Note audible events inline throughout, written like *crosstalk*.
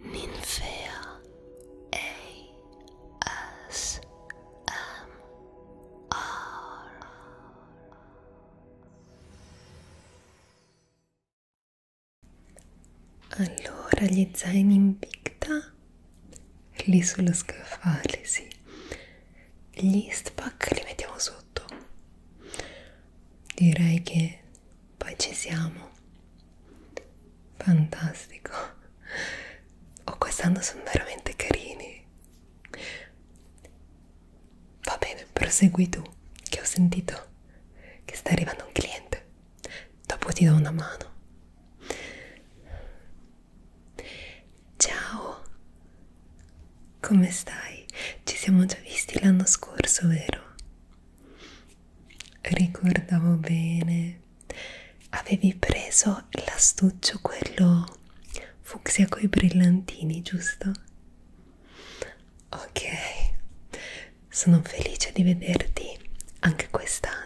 Ninfea ASMR Allora gli zaini in picta lì sullo scaffale, sì. Gli spack li mettiamo sotto. Direi che poi ci siamo fantastico oh quest'anno sono veramente carini va bene prosegui tu che ho sentito che sta arrivando un cliente dopo ti do una mano ciao come stai? ci siamo già visti l'anno scorso vero? Ricordavo bene, avevi preso l'astuccio quello fucsia coi brillantini, giusto? Ok, sono felice di vederti anche quest'anno.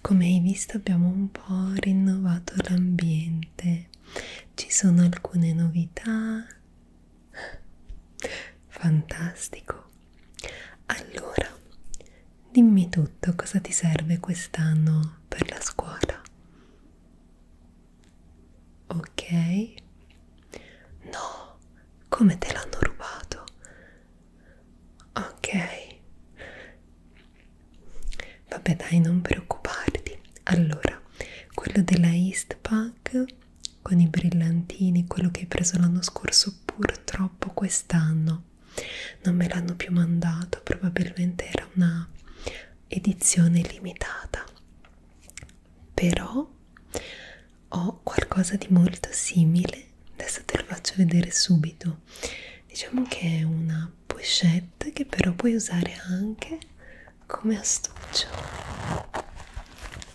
Come hai visto abbiamo un po' rinnovato l'ambiente, ci sono alcune novità Fantastico. Allora, dimmi tutto, cosa ti serve quest'anno per la scuola? Ok? No, come te l'hanno rubato? Ok. Vabbè dai, non preoccuparti. Allora, quello della Eastpak con i brillantini, quello che hai preso l'anno scorso, purtroppo quest'anno non me l'hanno più mandato, probabilmente era una edizione limitata. Però ho qualcosa di molto simile, adesso te lo faccio vedere subito. Diciamo che è una pochette che però puoi usare anche come astuccio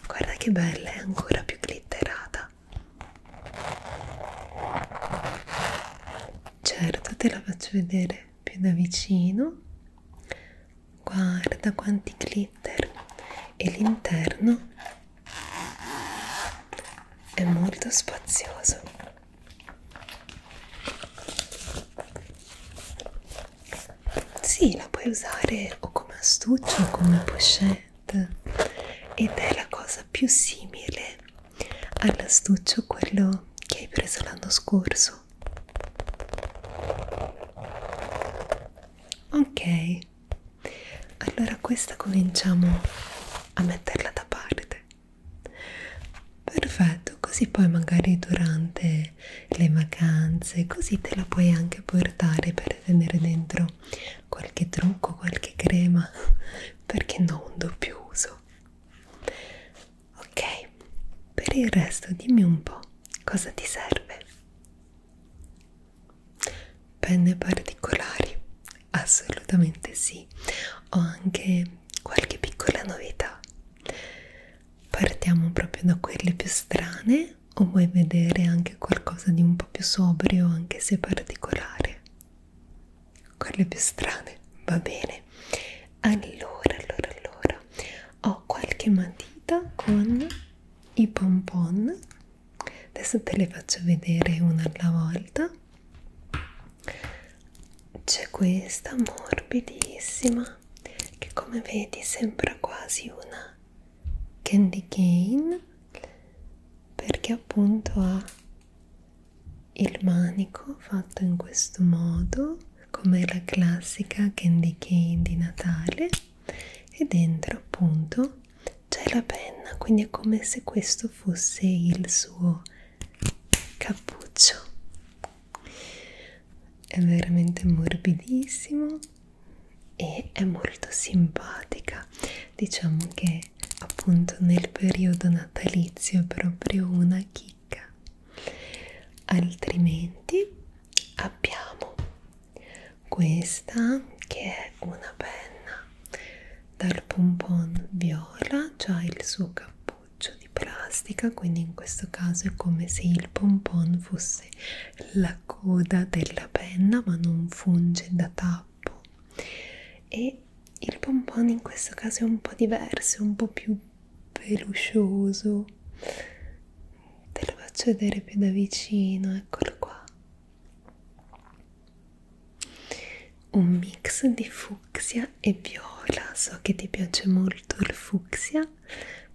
guarda che bella è ancora più glitterata certo te la faccio vedere più da vicino guarda quanti glitter e l'interno è molto spazioso sì, la puoi usare o come astuccia o come pochette ed è la cosa più simile all'astuccio quello che hai preso l'anno scorso. Ok, allora questa cominciamo a metterla da parte. Perfetto, così poi magari durante le, le vacanze, così te la puoi anche portare per tenere dentro qualche trucco, qualche crema, *laughs* perché no un doppio uso. Ok, per il resto dimmi un po' cosa ti serve. Penne particolari? Assolutamente sì. Ho anche qualche piccola novità. Partiamo proprio da quelle più strane o vuoi vedere anche qualcosa di un po' più sobrio, anche se particolare? Quelle più strane, va bene. Allora, allora, allora, ho qualche matita con i pompon. Adesso te le faccio vedere una alla volta. C'è questa morbidissima che come vedi sembra quasi una candy cane perché appunto ha il manico fatto in questo modo come la classica candy cane di Natale e dentro appunto c'è la penna quindi è come se questo fosse il suo cappuccio è veramente morbidissimo e è molto simpatica diciamo che appunto nel periodo natalizio è proprio una chicca altrimenti abbiamo questa che è una penna dal pompon viola c'ha il suo cappuccio di plastica quindi in questo caso è come se il pompon fosse prende la coda della penna ma non funge da tappo e il pompon in questo caso è un po' diverso, un po' più peluscioso te lo faccio vedere più da vicino, eccolo qua un mix di fucsia e viola so che ti piace molto il fucsia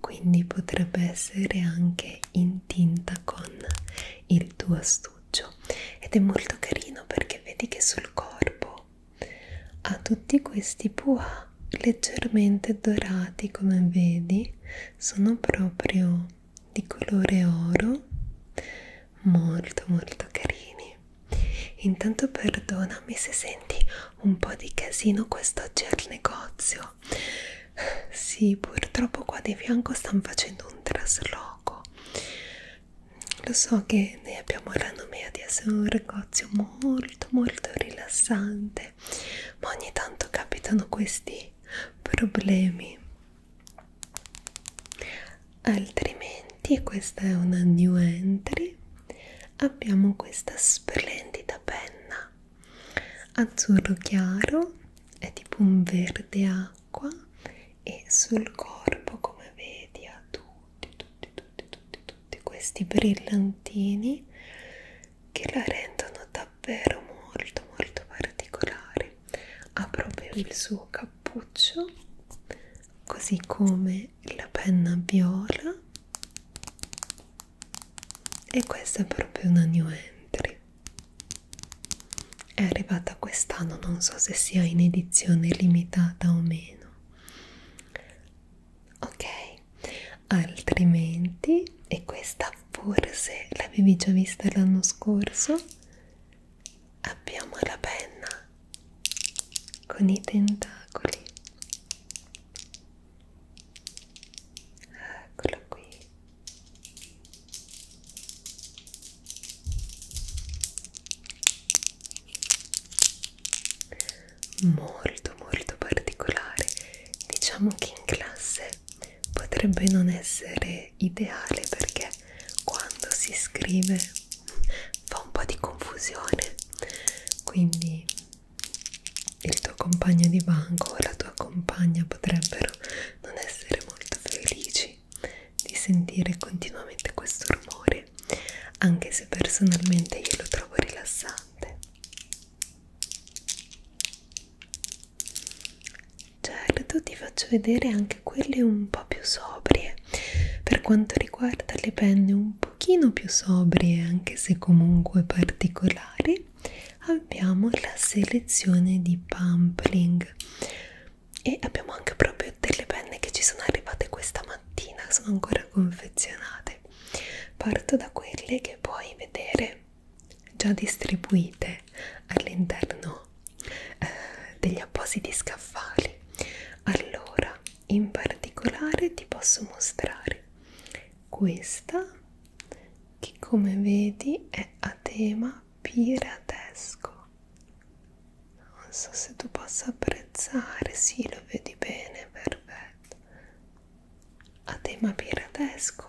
quindi potrebbe essere anche in tinta con il tuo astuccio ed è molto carino perché vedi che sul corpo ha tutti questi pua leggermente dorati come vedi sono proprio di colore oro molto molto carini intanto perdonami se senti un po' di casino quest'oggi al negozio sì purtroppo qua di fianco stanno facendo un trasloco lo so che noi abbiamo la nomea di essere un negozio molto molto rilassante ma ogni tanto capitano questi problemi altrimenti e questa è una new entry abbiamo questa splendida penna azzurro chiaro è tipo un verde acqua e sul corpo come vedi ha tutti tutti tutti tutti tutti questi brillantini che la rendono davvero molto molto particolare ha proprio il suo cappuccio così come la penna viola e questa è proprio una new entry è arrivata quest'anno non so se sia in edizione limitata o meno ok altrimenti e questa forse l'avevi già vista l'anno scorso abbiamo la penna con i tentacoli eccola qui molto molto particolare diciamo che in classe potrebbe non essere ideale perché quando si scrive *laughs* fa un po' di confusione quindi il tuo compagno di banco o la tua compagna potrebbero non essere molto felici di sentire continuamente questo rumore, anche se personalmente io lo trovo rilassante. Certo, ti faccio vedere anche quelle un po' più sobrie per quanto riguarda le penne un pochino più sobrie anche se comunque particolari abbiamo la selezione di Pampling e abbiamo anche proprio delle penne che ci sono arrivate questa mattina sono ancora confezionate parto da quelle che puoi vedere già distribuite all'interno eh, degli appositi scaffali allora in particolare ti posso mostrare questa che come vedi è a tema piratesco non so se tu possa apprezzare sì lo vedi bene perfetto a tema piratesco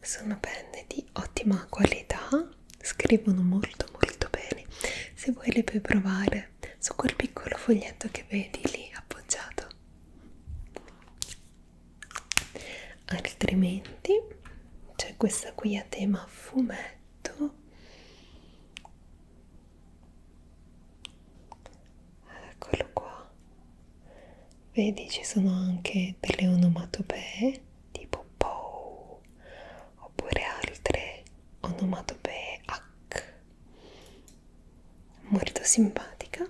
sono penne di ottima qualità scrivono molto molto bene se vuoi le puoi provare su quel piccolo foglietto che vedi lì appoggiato altrimenti c'è questa qui a tema fumetto eccolo qua vedi ci sono anche delle onomatopee tipo POW oppure altre onomatopee H molto simpatica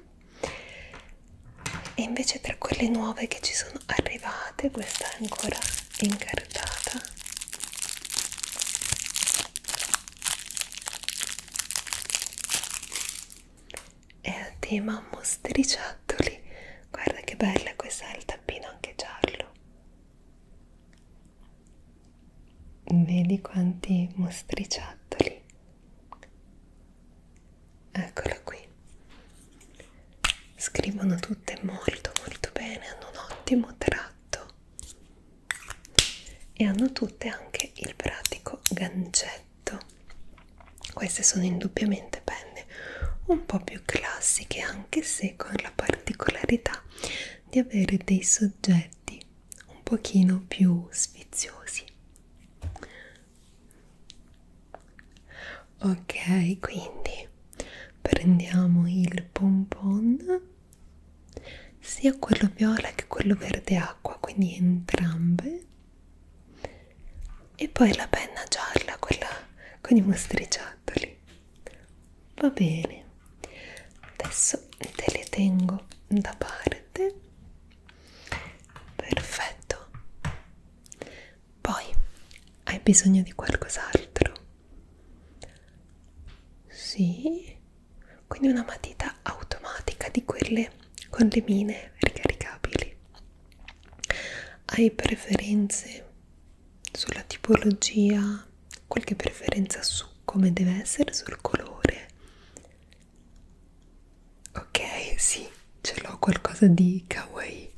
e invece tra quelle nuove che ci sono arrivate questa è ancora incartata è a tema mostriciattoli guarda che bella questa è il tappino anche giallo Vedi quanti mostriciattoli. Eccola qui. Scrivono tutte molto molto bene, hanno un ottimo tratto e hanno tutte anche il pratico gancetto. Queste sono indubbiamente penne un po' più classiche anche se con la particolarità di avere dei soggetti un pochino più sfiziosi ok quindi prendiamo il pompon sia quello viola che quello verde acqua quindi entrambe e poi la penna gialla quella con i mostriciati Eccoli. Va bene. Adesso te le tengo da parte. Perfetto. Poi hai bisogno di qualcos'altro? Sì. Quindi una matita automatica di quelle con le mine ricaricabili. Hai preferenze sulla tipologia, qualche preferenza su come deve essere, sul colore. Ok, sì, ce l'ho qualcosa di kawaii.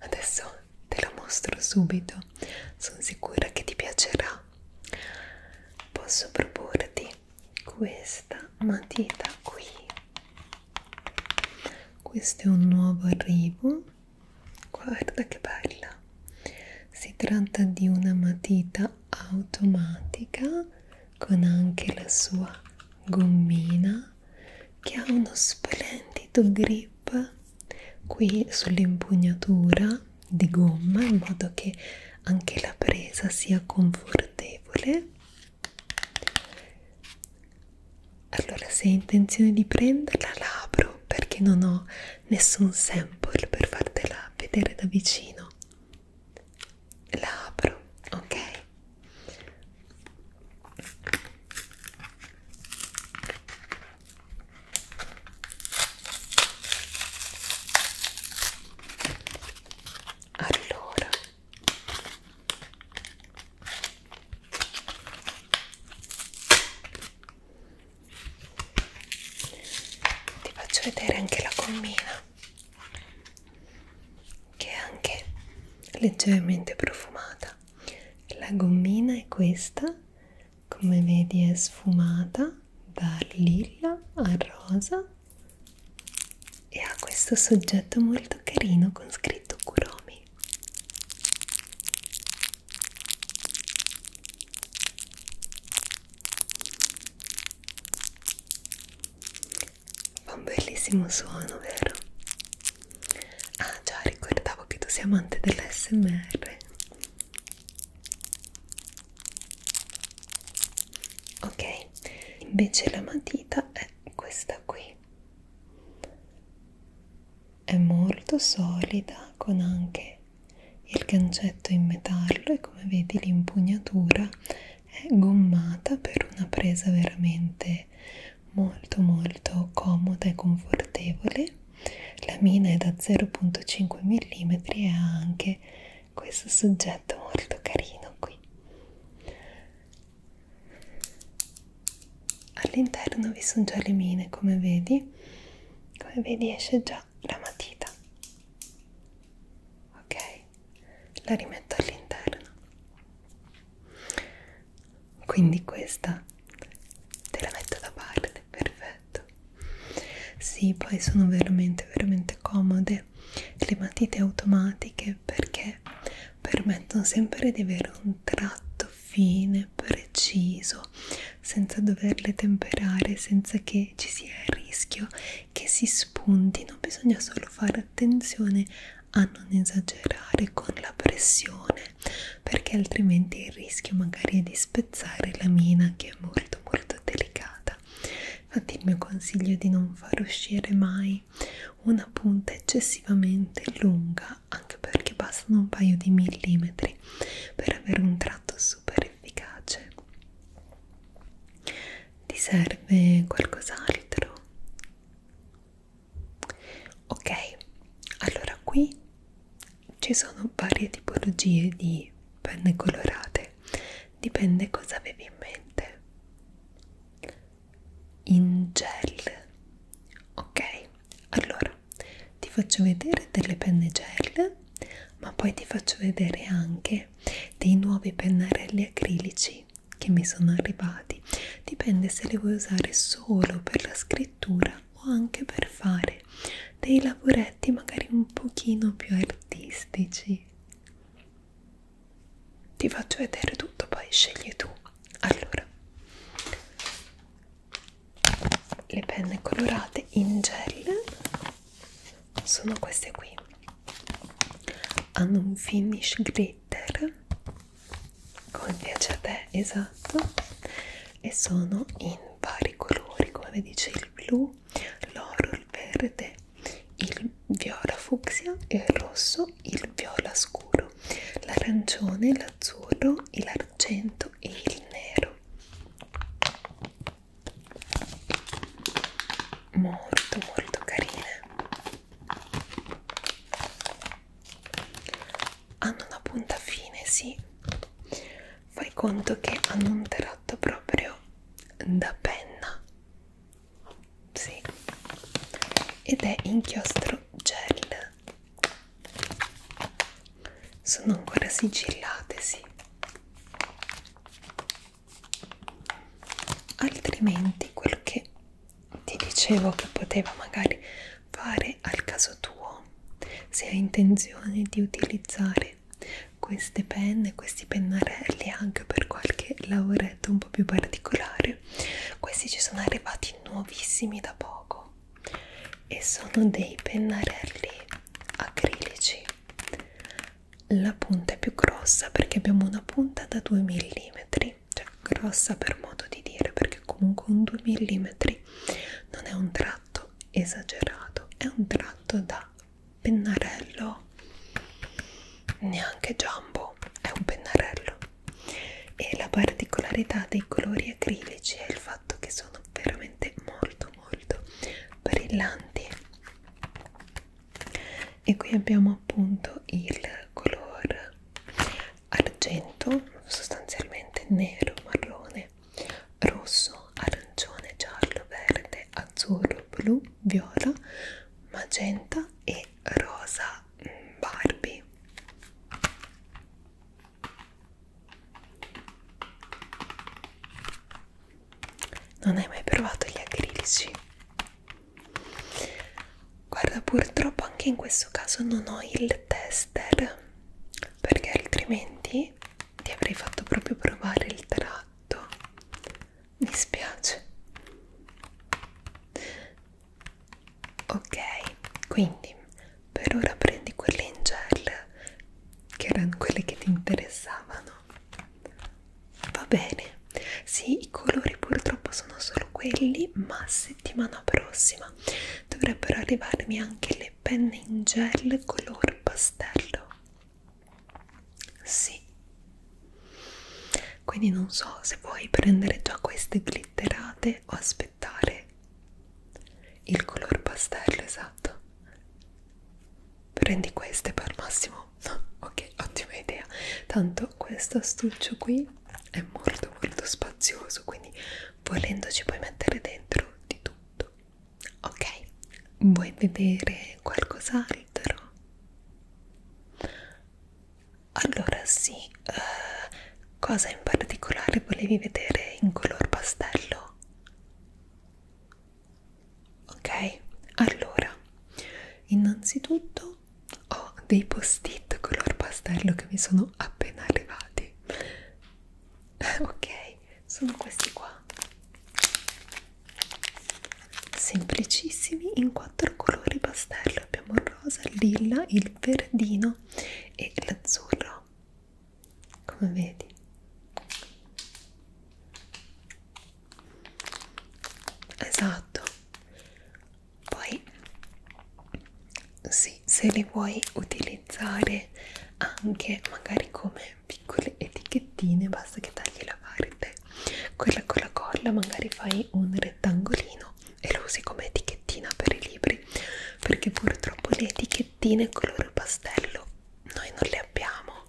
Adesso te lo mostro subito. Sono sicura che ti piacerà. Posso proporti questa matita qui. Questo è un nuovo arrivo guarda che bella si tratta di una matita automatica con anche la sua gommina che ha uno splendido grip qui sull'impugnatura di gomma in modo che anche la presa sia confortevole allora se hai intenzione di prenderla l'apro perché non ho nessun sample per fartela vedere da vicino la apro ok allora ti faccio vedere anche la gommina che è anche leggermente profumata la gommina è questa come vedi è sfumata dal lilla al rosa e ha questo soggetto molto carino con scritto Kuromi Fa un bellissimo suono, vero? Ah già, ricordavo che tu sei amante dell'SMR. Ok, invece la matita è questa qui. È molto solida con anche il gancetto è in metallo e come vedi l'impugnatura è gommata per una presa veramente molto molto comoda e confortevole. La mina è da 0.5 mm e ha anche questo soggetto molto carino qui all'interno vi sono già le mine come vedi come vedi esce già la matita ok la rimetto all'interno quindi questa te la metto da parte perfetto sì poi sono veramente veramente comode le matite automatiche perché permettono sempre di avere un tratto fine, preciso, senza doverle temperare, senza che ci sia il rischio che si spuntino. Bisogna solo fare attenzione a non esagerare con la pressione, perché altrimenti il rischio magari è di spezzare la mina che è molto molto delicata. Infatti il mio consiglio è di non far uscire mai una punta eccessivamente lunga anche perché bastano un paio di millimetri per avere un tratto super efficace ti serve qualcos'altro? ok allora qui ci sono varie tipologie di penne colorate dipende cosa avevi in mente in gel ok allora ti faccio vedere delle penne gel ma poi ti faccio vedere anche dei nuovi pennarelli acrilici che mi sono arrivati dipende se li vuoi usare solo per la scrittura o anche per fare dei lavoretti magari un pochino più artistici ti faccio vedere tutto poi scegli tu allora le penne colorate in gel sono queste qui hanno un finish glitter come piace a te esatto e sono in vari colori come vi dice il blu l'oro il verde il viola fucsia il rosso il viola scuro l'arancione, l'azzurro, l'argento e il nero molto molto carine hanno una punta fine sì fai conto che hanno un tratto proprio da penna sì ed è inchiostro gel sono ancora sigillate, sì. Altrimenti quel che ti dicevo che poteva magari fare al caso tuo, se hai intenzione di utilizzare queste penne, questi pennarelli anche per qualche lavoretto un po' più particolare, questi ci sono arrivati nuovissimi da poco e sono dei pennarelli acrilici la punta è più grossa perché abbiamo una punta da 2 mm cioè grossa per modo di dire perché comunque un 2 mm non è un tratto esagerato è un tratto da pennarello neanche jumbo è un pennarello e la particolarità dei colori acrilici è il fatto che sono veramente molto molto brillanti e qui abbiamo appunto il color argento sostanzialmente nero marrone rosso arancione giallo verde azzurro blu viola magenta e rosa mm, Barbie non hai mai provato gli acrilici? Guarda, purtroppo anche in questo caso non ho il tester perché altrimenti ti avrei fatto proprio provare il tratto. Mi spiace ok quindi per ora prendi quelle in gel che erano quelle che ti interessavano va bene sì i colori purtroppo sono solo quelli ma settimana prossima dovrebbero arrivarmi anche le penne in gel color pastello sì quindi non so se vuoi prendere già queste glitterate o aspettare aspettare il color pastello esatto prendi queste poi al massimo *laughs* ok ottima idea tanto questo astuccio qui è molto molto spazioso quindi volendoci puoi mettere dentro di tutto ok vuoi vedere qualcos'altro allora sì, uh, cosa in particolare volevi vedere in color pastello? Ok, allora, innanzitutto ho dei post-it color pastello che mi sono appena arrivati. *laughs* Ok, sono questi qua. Semplicissimi in quattro colori pastello. Abbiamo il rosa, il lilla, il verdino rosa e l'azzurro come vedi esatto poi sì, se li vuoi utilizzare anche magari come piccole etichettine basta che tagli la parte quella con la colla magari fai un rettangolino e lo usi come etichettina per i libri perché purtroppo le etichettine color pastello noi non le abbiamo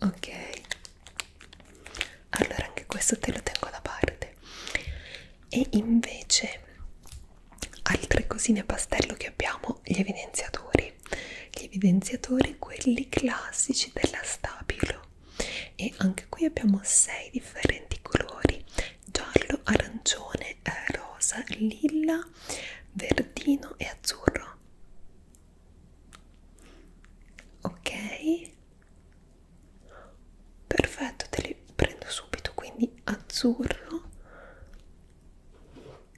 ok allora anche questo te lo tengo da parte e invece altre cosine pastello che abbiamo gli evidenziatori gli evidenziatori quelli classici della Stabilo e anche qui abbiamo sei differenti colori giallo, arancione, eh, rosa, lilla, verdino e azzurro ok perfetto te li prendo subito quindi azzurro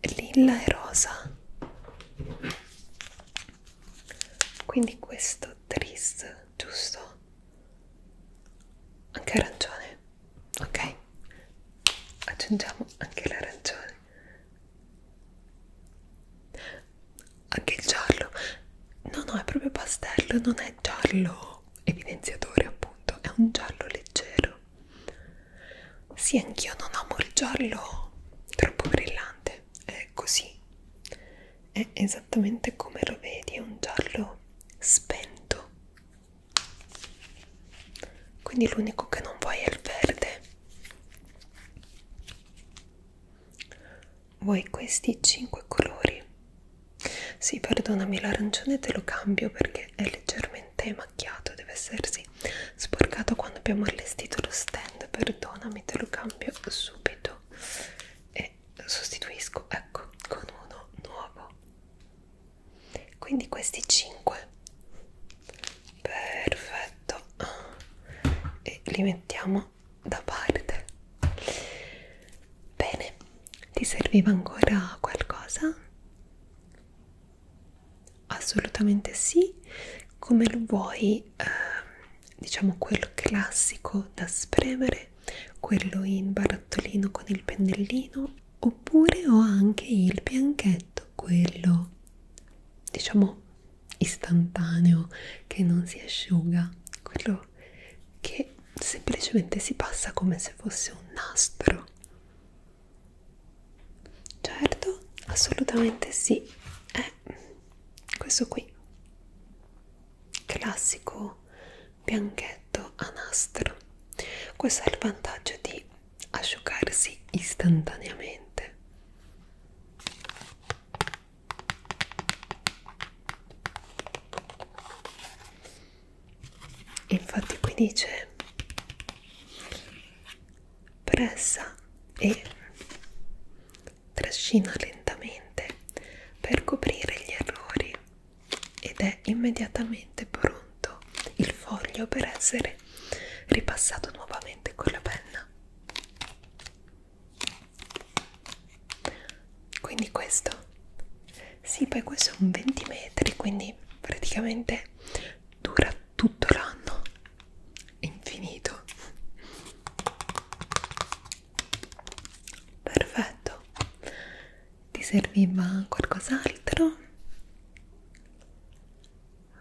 lilla e rosa quindi questo tris giusto anche arancione ok aggiungiamo anche l'arancione anche il giallo no no è proprio pastello non è giallo evidenziatore appunto è un giallo leggero sì anch'io non amo il giallo troppo brillante è così è esattamente come lo vedi, è un giallo spento. Quindi l'unico che non vuoi è il verde. Vuoi questi 5 colori? Sì, perdonami, l'arancione te lo cambio perché è leggermente macchiato, deve essersi sporcato quando abbiamo allestito lo stand, perdonami, te lo cambio subito e sostituisco ecco con uno nuovo quindi questi 5 perfetto e li mettiamo da parte bene ti serviva ancora qualcosa assolutamente sì come lo vuoi eh, diciamo quel classico da spremere, quello in barattolino con il pennellino, oppure ho anche il bianchetto, quello diciamo istantaneo che non si asciuga, quello che semplicemente si passa come se fosse un nastro. Certo, assolutamente sì, è eh, è questo qui classico bianchetto a nastro questo è il vantaggio di asciugarsi istantaneamente infatti qui dice pressa e trascina lentamente per coprire gli errori ed è immediatamente pronto il foglio per essere ripassato nuovamente con la penna. Quindi questo, sì, poi questo è un 20 metri, quindi praticamente dura tutto l'anno infinito perfetto ti serviva qualcos'altro?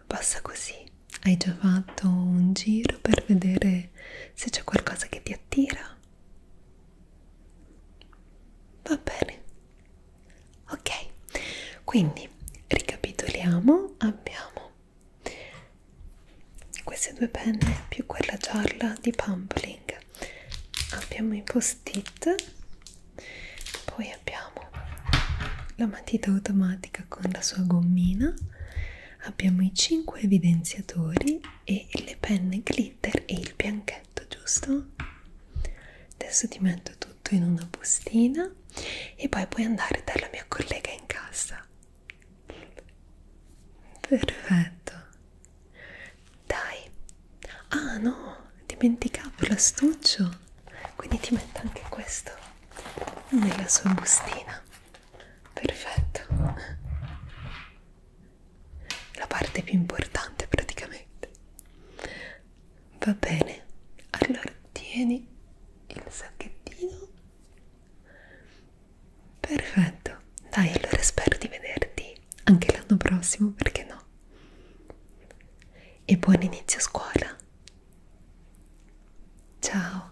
basta così hai già fatto un giro per vedere se c'è qualcosa che ti attira va bene ok quindi ricapitoliamo abbiamo queste due penne più quella gialla di Pumpling abbiamo i post-it poi abbiamo la matita automatica con la sua gommina abbiamo i 5 evidenziatori e le penne glitter e il bianchetto giusto? adesso ti metto tutto in una bustina e poi puoi andare dalla mia collega in casa perfetto dai ah no dimenticavo l'astuccio quindi ti metto anche questo nella sua bustina perfetto la parte più importante praticamente va bene allora tieni il sacchettino Perfetto, dai allora spero di vederti anche l'anno prossimo, perché no? E buon inizio scuola! Ciao!